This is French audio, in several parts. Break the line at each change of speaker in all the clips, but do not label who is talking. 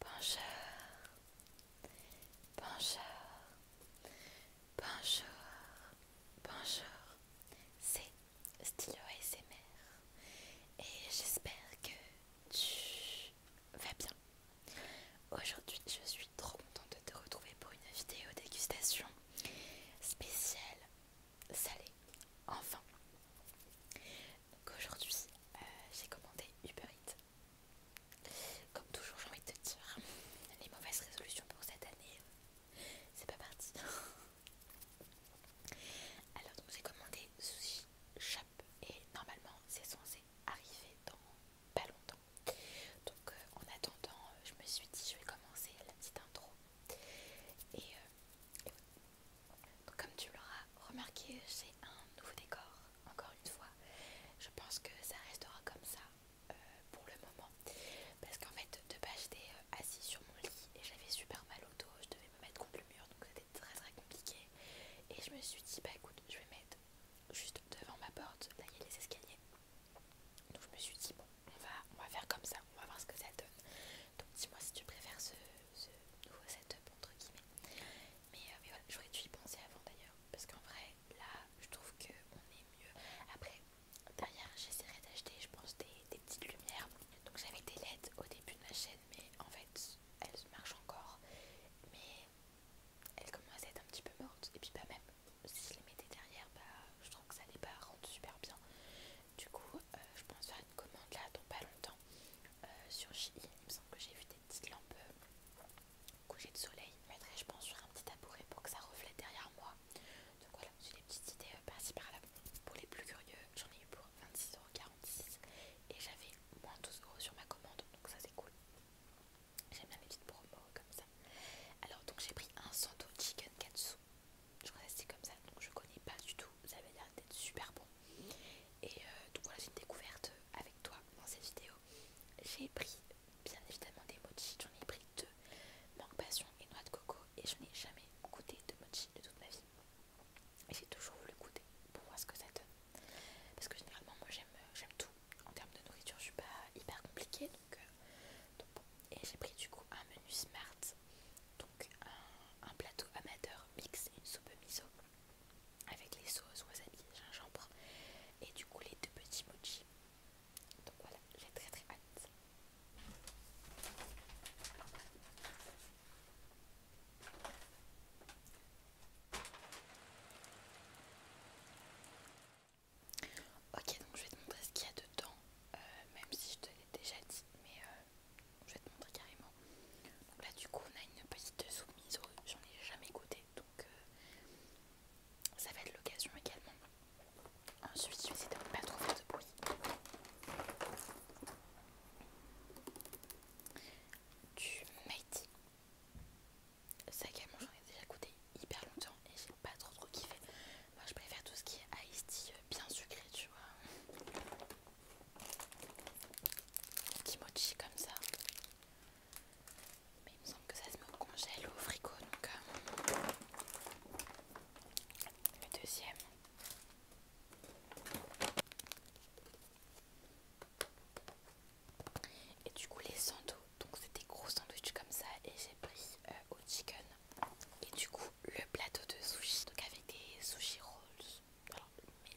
Bonjour, bonjour, bonjour, bonjour, c'est Stylo ASMR et j'espère que tu vas bien. Aujourd'hui, je suis trop contente de te retrouver pour une vidéo dégustation spéciale salée. Enfin, donc aujourd'hui, euh, j'ai commandé Uber Eats. Comme toujours, j'ai envie de te dire, les mauvaises résolutions pour cette année, c'est pas parti. Alors, j'ai commandé Sushi Shop et normalement, c'est censé arriver dans pas longtemps. Donc, euh, en attendant, euh, je me suis dit, je vais commencer la petite intro. et donc, comme tu l'auras remarqué, c'est un nouveau décor, encore une fois. Je pense que ça restera comme ça euh, pour le moment. Parce qu'en fait, de base, j'étais euh, assise sur mon lit et j'avais super mal au dos. Je devais me mettre contre le mur, donc c'était très très compliqué. Et je me suis dit, bah écoute, je vais mettre juste devant ma porte. Là, il y a les escaliers. Donc je me suis dit, bon, on va, on va faire comme ça, on va voir ce que ça donne. Donc dis-moi si tu préfères ce ce nouveau setup entre guillemets. Euh, mais, voilà, j'aurais dû y penser avant d'ailleurs, parce qu'en vrai, là, je trouve qu'on est mieux. Après, derrière, j'essaierai d'acheter, je pense, des, petites lumières. Donc j'avais des LED au début de ma chaîne, mais en fait, elles marchent encore. Mais elles commencent à être un petit peu mortes. Et puis, pas bah, même si je les mettais derrière, bah, je trouve que ça n'est pas rendre super bien. Du coup, euh, je pense faire une commande là dans pas longtemps euh, sur Shein, il me semble que j'ai vu des petites lampes euh, Couchées de soleil. Je mettrais je pense, sur un petit tabouret pour que ça reflète derrière moi. Donc voilà, j'ai des petites idées euh, par-ci là Pour les plus curieux, j'en ai eu pour 26,46€ et j'avais moins 12€ sur ma commande, donc ça c'est cool. J'aime bien les petites promos comme ça. Alors, donc j'ai pris un santo chicken katsu. Je crois que c'est comme ça, donc je connais pas du tout. Ça avez l'air d'être super bon. Et euh, donc voilà, j'ai une découverte euh, avec toi dans cette vidéo. J'ai pris bien évidemment des mochi j'en ai pris deux, mangue passion et noix de coco, et je n'ai jamais goûté de mochi de toute ma vie. mais j'ai toujours voulu goûter pour voir ce que ça donne. Parce que généralement, moi j'aime euh, tout. En termes de nourriture, je suis pas hyper compliquée. Donc, Et j'ai pris du coup un menu smart, donc un un plateau amateur mixe une soupe miso avec les sauces wasabi, gingembre et du coup les deux petits mochi. Donc voilà, j'ai très très hâte. Ok, donc je vais te montrer ce qu'il y a dedans, euh, même si je te l'ai déjà dit, mais euh, je vais te montrer carrément. Donc là du coup on a une petite soupe au j'en ai jamais goûté donc euh, ça va être l'occasion également. Ensuite je vais essayer de ne pas trop faire de bruit. Du Mighty. Ça également j'en ai déjà goûté hyper longtemps et j'ai pas trop trop kiffé. Moi je préfère tout ce qui est iced tea euh, bien sucré tu vois kimochis comme ça. Mais il me semble que ça se met au congèle au frigo. Donc, euh, le deuxième. Et du coup, les sandwichs. Donc, c'est des gros sandwichs comme ça. Et j'ai pris euh, au chicken. Et du coup, le plateau de sushi. Donc, avec des sushi rolls. Alors,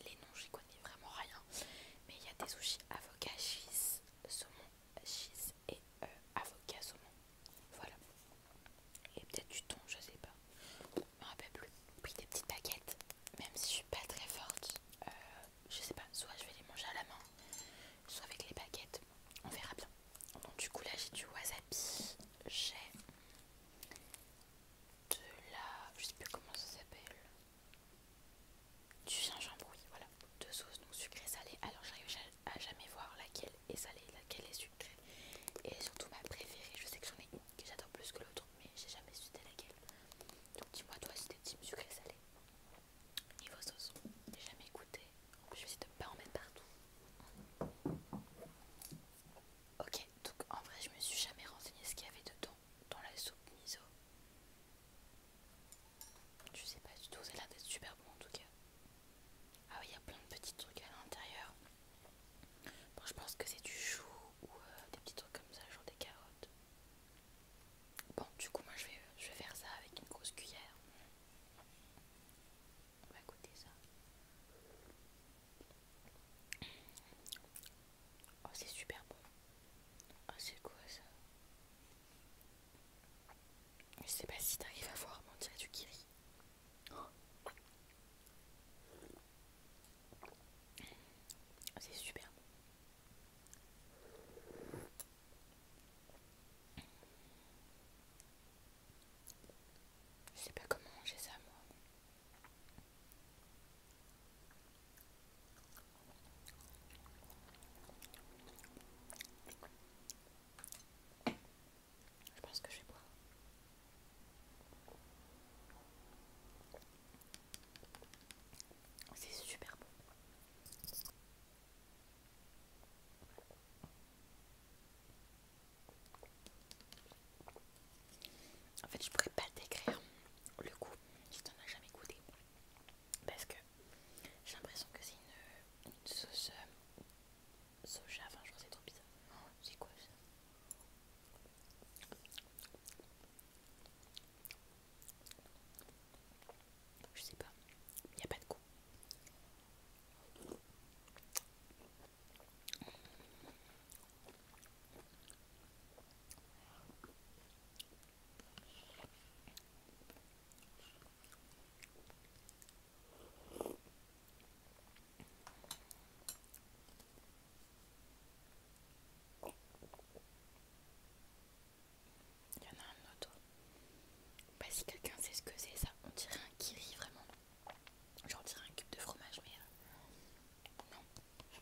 mais les noms, j'y connais vraiment rien. Mais il y a des sushis avocat, cheese, saumon, cheese et euh, avocat, saumon. Voilà. Et peut-être du thon, je sais pas. Je me rappelle plus. Puis des petites baguettes. Même si je suis pas très forte, euh, je sais pas. Soit je vais les manger à la main, soit avec les baguettes. On verra bien. Donc, du coup, là j'ai du wasabi. J'ai de la... je sais plus comment ça s'appelle du gingembre, oui, voilà deux sauces, donc sucré-salé alors j'arrive à jamais voir laquelle est salée laquelle est sucrée et surtout ma préférée, je sais que j'en ai une que j'adore plus que l'autre mais j'ai jamais su laquelle donc dis-moi toi si t'es type sucré salé niveau sauce, j'ai jamais goûté je vais essayer de pas en mettre partout Ok, donc en vrai, je me suis jamais renseigné ce qu'il y avait dedans dans la soupe miso. Je sais pas du tout, ça a l'air d'être super bon en tout cas. Ah oui, il y a plein de petits trucs à l'intérieur. Bon, je pense que c'est du chou ou euh, des petits trucs comme ça, genre des carottes. Bon, du coup, moi je vais, je vais faire ça avec une grosse cuillère. On va goûter ça. Oh, c'est super bon. Oh, c'est quoi ça Je sais pas si t'arrives à voir, mais on dirait du ah, C'est super je sais pas comment manger ça moi. Je pense que je vais boire. C'est super bon. En fait, je pourrais pas décrire le goût, je t'en ai jamais goûté. Parce que j'ai l'impression que c'est une, sauce euh, soja, enfin, je que c'est trop bizarre. c'est quoi ça je sais pas, il n'y a pas de goût. Il y en a un autre. Bah, si quelqu'un sait ce que c'est, ça, on dirait un vit vraiment. J'en dirais un cube de fromage, mais euh, non. il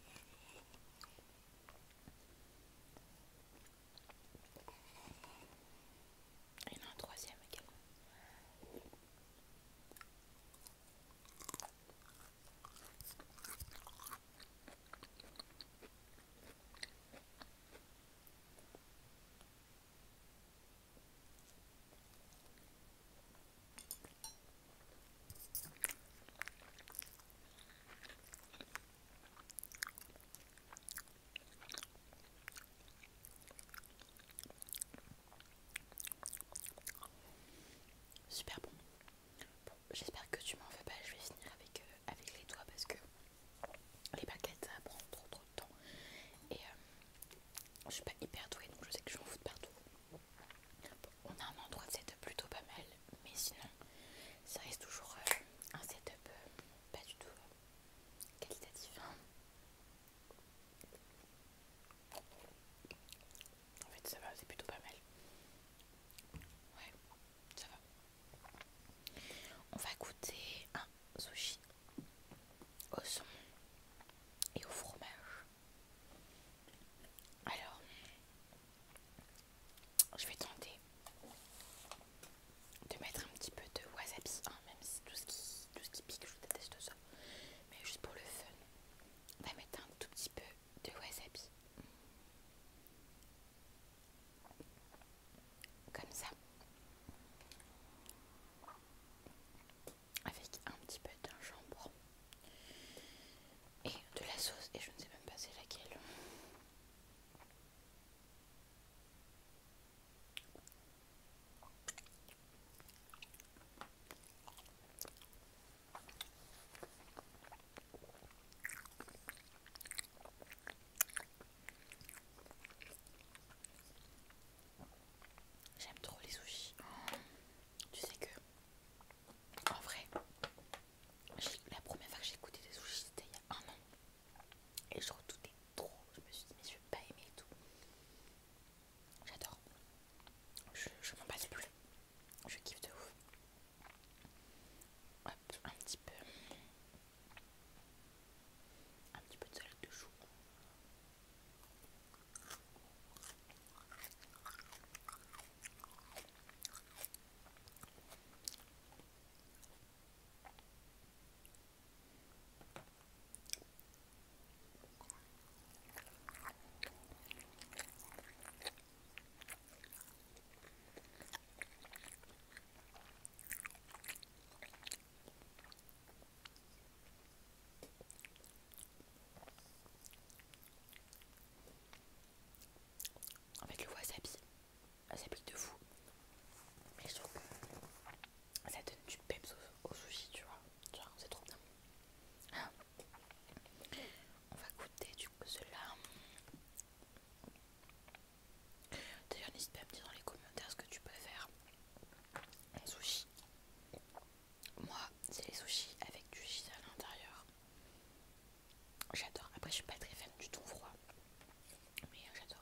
y en a un troisième également. Super bon. J'espère que tu m'en veux pas, je vais finir avec, euh, avec les doigts parce que les baguettes ça prend trop trop temps. Et euh, je suis pas hyper douée donc je sais que je m'en fous de partout. on a un endroit de setup plutôt pas mal, mais sinon ça reste toujours euh, un setup euh, pas du tout qualitatif. En fait ça va, c'est plutôt pas mal. Ouais, ça va. On va goûter un sushi au son et au fromage. Alors, je vais tenter de mettre un petit peu de wasabi, hein, même si tout ce, qui, tout ce qui pique, je déteste ça. Mais juste pour le fun, on va mettre un tout petit peu de wasabi. Comme ça avec un petit peu de jambon et de la sauce et je ne sais même pas c'est laquelle. J'aime trop les sushis. Tu sais que, en vrai, la première fois que j'ai goûté des sushis, c'était il y a un an. Et je redoutais trop. Je me suis dit, mais je vais pas aimer et tout. J'adore. Je, je m'en passe plus. Je kiffe de ouf. Hop, un petit peu un petit peu de salade de chou. En fait, le wasabi, s'habille s'habille de fou. Mais je trouve que ça donne du peps au, tu sushi, tu vois. c'est trop bien. On va goûter du coup cela. D'ailleurs, n'hésite pas à me dire dans les commentaires ce que tu faire en sushi. Moi, c'est les sushis avec du gis à l'intérieur. J'adore. Après, je suis pas très fan du tout froid, mais euh, j'adore.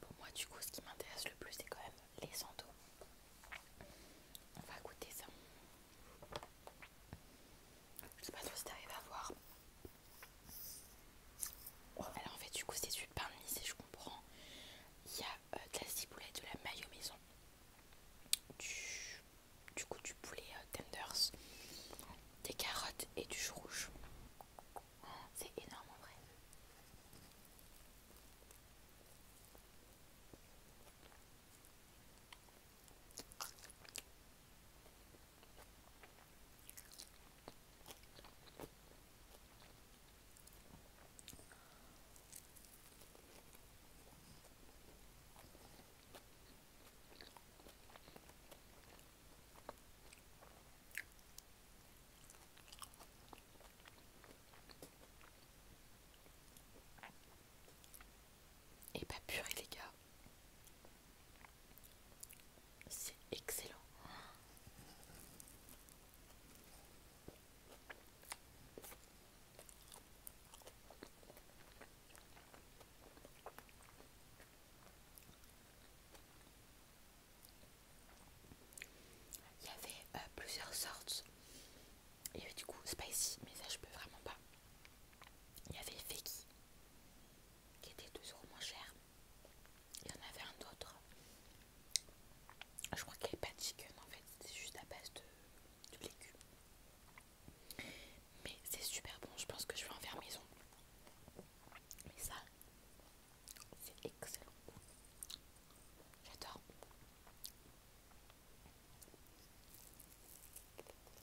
Pour moi, du coup, ce qui m'intéresse le plus, c'est quand même les sandaux. On va goûter ça. Je sais pas trop si t'arrives à voir. Oh, alors en fait du coup c'est du pain de je comprends. Il y a euh, de la ciboulette, de la mayo maison, du, coup du poulet euh, tenders, des carottes et du chou rouge. C'est énorme en vrai. Et bah purée les gars, c'est excellent. Il y avait euh, plusieurs sortes. Il y avait du coup spicy, mais ça je peux vraiment pas. Il y avait Feki qui était toujours moins cher. Il y en avait un autre. Je crois qu'elle n'est pas chicken en fait, c'est juste à base de, de légumes. Mais c'est super bon, je pense que je vais en faire maison. Mais ça, c'est excellent. J'adore.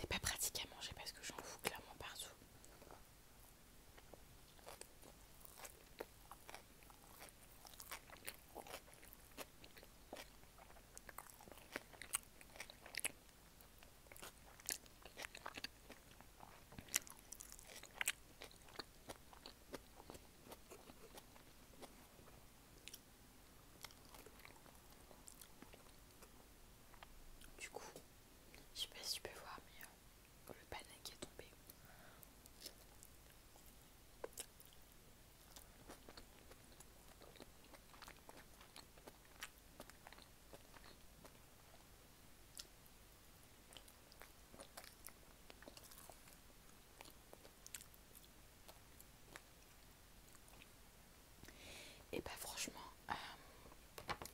C'est pas pratique à manger parce que j'en fous clairement partout. Du coup, je sais pas si tu peux voir, mais euh, le panneau qui est tombé. Et bah franchement, euh,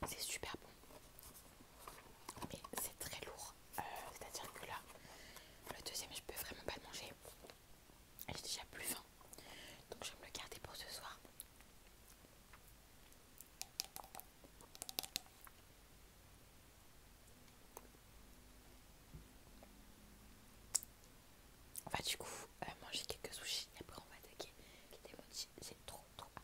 c'est super bon. Mais c'est très lourd. Euh, c'est-à-dire que là, le deuxième, je peux vraiment pas le manger. J'ai déjà plus faim. Donc je vais me le garder pour ce soir. On va du coup euh, manger quelques sushis et après on va attaquer les J'ai trop trop hâte.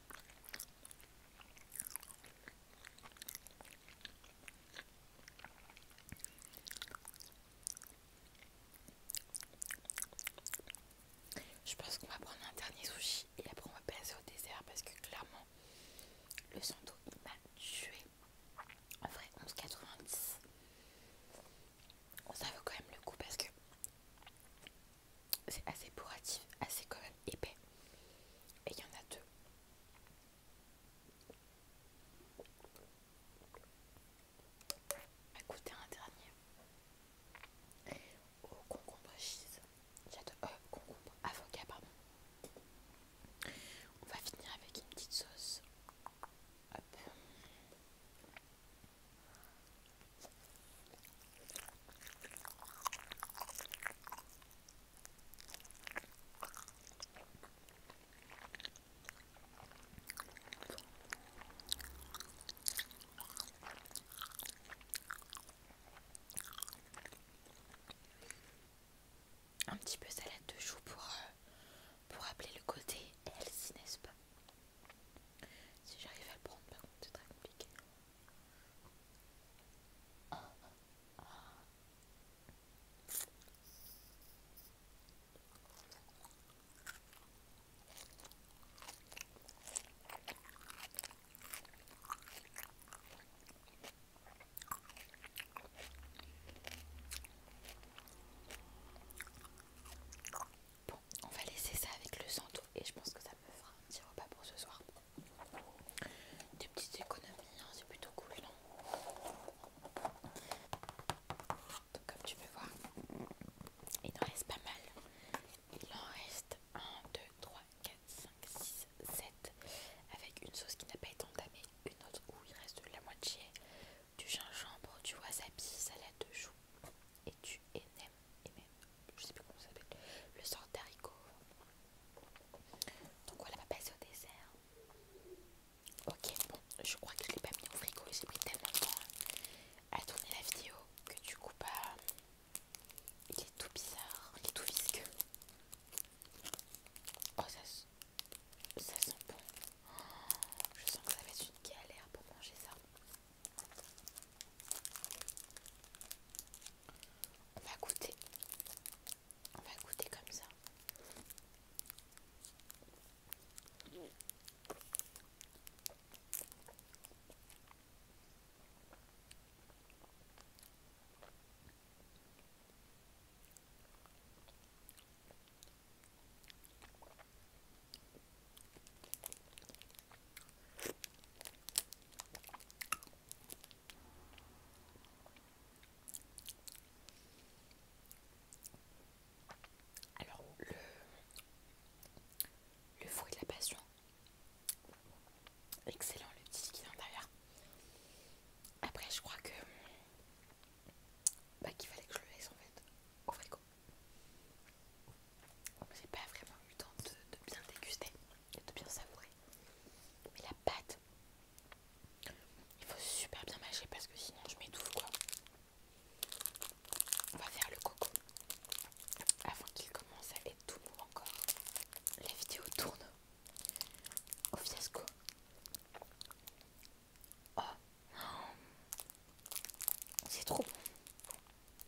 Je pense qu'on va prendre un dernier sushi et après on va passer au dessert parce que clairement le santo il m'a tué. En vrai 11,90. Ça vaut quand même le coup parce que c'est assez pourratif, assez quand même épais. Et il y en a deux. Écoutez un dernier. Au concombre cheese. J'adore. de euh, concombre, avocat, pardon. On va finir avec une petite sauce. Hop. Un petit peu salade de choux pour, euh, pour rappeler le côté healthy, n'est-ce pas si j'arrive à le prendre, par contre, c'est très compliqué. Bon, on va laisser ça avec le santo et je pense que ça me fera un petit repas pour ce soir. Des petites économies, hein, c'est plutôt cool, Donc comme tu peux voir, il en reste pas mal. Il en reste 1, 2, 3, 4, 5, 6, 7 avec une sauce qui n'a pas été entamée, une autre où il reste la moitié, du gingembre, du wasabi, salade de choux et tu aimais je sais plus comment ça s'appelle, le sort d'haricots Donc voilà, ma base au dessert. Ok, bon, je crois que je l'ai pas mis au frigo et j'ai pris tellement de temps hein, à tourner la vidéo que du coup, pas bah, il est tout bizarre, il est tout visqueux. Oh, ça, ça sent bon. Oh, je sens que ça va être une galère pour manger ça. On va goûter. On va goûter comme ça. Alors, le, le fruit de la passion, excellent le petit qui est derrière. Après, je crois que bah, qu'il fallait que je le laisse en fait au frigo. J'ai pas vraiment eu le temps de, bien déguster et de bien savourer. Mais la pâte, il faut super bien mâcher parce que sinon je m'étouffe quoi. On va faire le coco avant qu'il commence à être tout mou encore. La vidéo tourne au fiasco. Oh, c'est trop bon.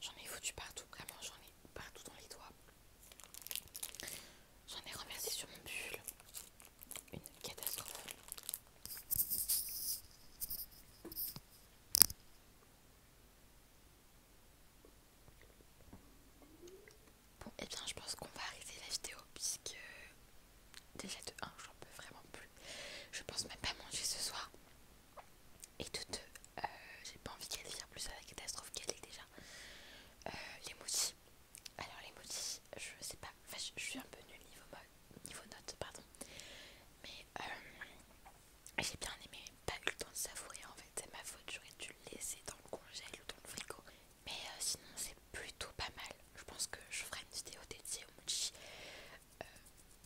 J'en ai foutu partout, vraiment j'en ai partout dans les doigts. J'en ai renversé sur mon pull. Une catastrophe. Bon, et eh bien je pense qu'on va arrêter la vidéo puisque déjà de 1 j'en peux vraiment plus. Je pense même pas manger ce soir. Et de 2, euh, j'ai pas envie qu'elle vienne plus à la catastrophe qu'elle est déjà. Euh, les motis. Alors les motis, je sais pas, je, suis un peu nulle niveau, niveau notes, pardon. Mais euh, j'ai bien aimé, pas eu le temps de savourer en fait, c'est ma faute, j'aurais dû le laisser dans le congèle ou dans le frigo. Mais euh, sinon c'est plutôt pas mal, je pense que je ferai une vidéo dédiée au mochi. Euh,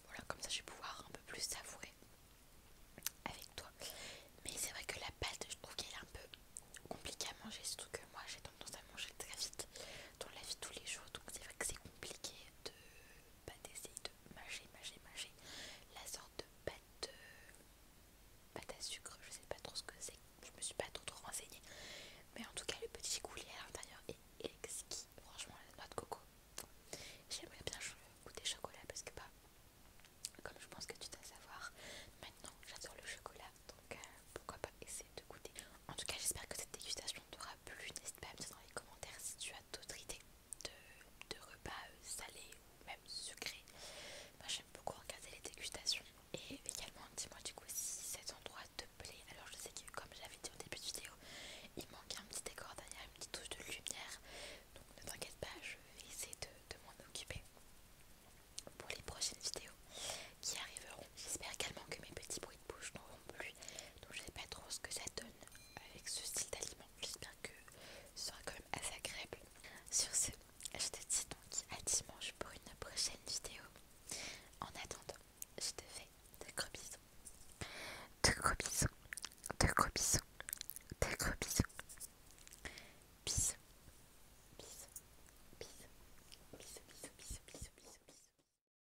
voilà, comme ça je vais pouvoir un peu plus savourer avec toi. Mais c'est vrai que la pâte, je trouve qu'elle est un peu compliquée à manger, surtout que moi j'ai tendance à manger très vite dans la vie tous les jours, donc c'est vrai que c'est compliqué de pâte, essaye de mâcher, mâcher, mâcher la sorte de euh, pâte, à sucre, je sais pas trop ce que c'est, je me suis pas trop renseignée, mais en tout cas le petit coulis à l'intérieur est exquis, franchement la noix de coco, j'aimerais bien goûter chocolat parce que bah, comme je pense que tu dois savoir, maintenant j'adore le chocolat, donc euh, pourquoi pas essayer de goûter, en tout cas j'espère que cette dégustation aura plus plu. N'hésite pas à me dire dans les commentaires si tu as d'autres idées de, repas euh, salés ou même sucrés. Moi j'aime beaucoup regarder les dégustations. Et également dis-moi du coup si cet endroit te plaît. Alors je sais que comme j'avais dit au début de vidéo, il manque un petit décor derrière, une petite touche de lumière. Donc ne t'inquiète pas, je vais essayer de, de m'en occuper pour les prochaines vidéos qui arriveront. J'espère également que mes petits bruits je n'en plus. Donc je sais pas trop ce que ça donne avec ce style d'aliment. que ce sera quand même assez agréable. Sur ce, je te dis donc à dimanche pour une prochaine vidéo. En attendant, je te fais de gros bisous. De gros bisous. De gros bisous. De gros Bisous. Bisous. Bisous. Bisous. Bisous. Bisous. Bisous. Bisous. bisous.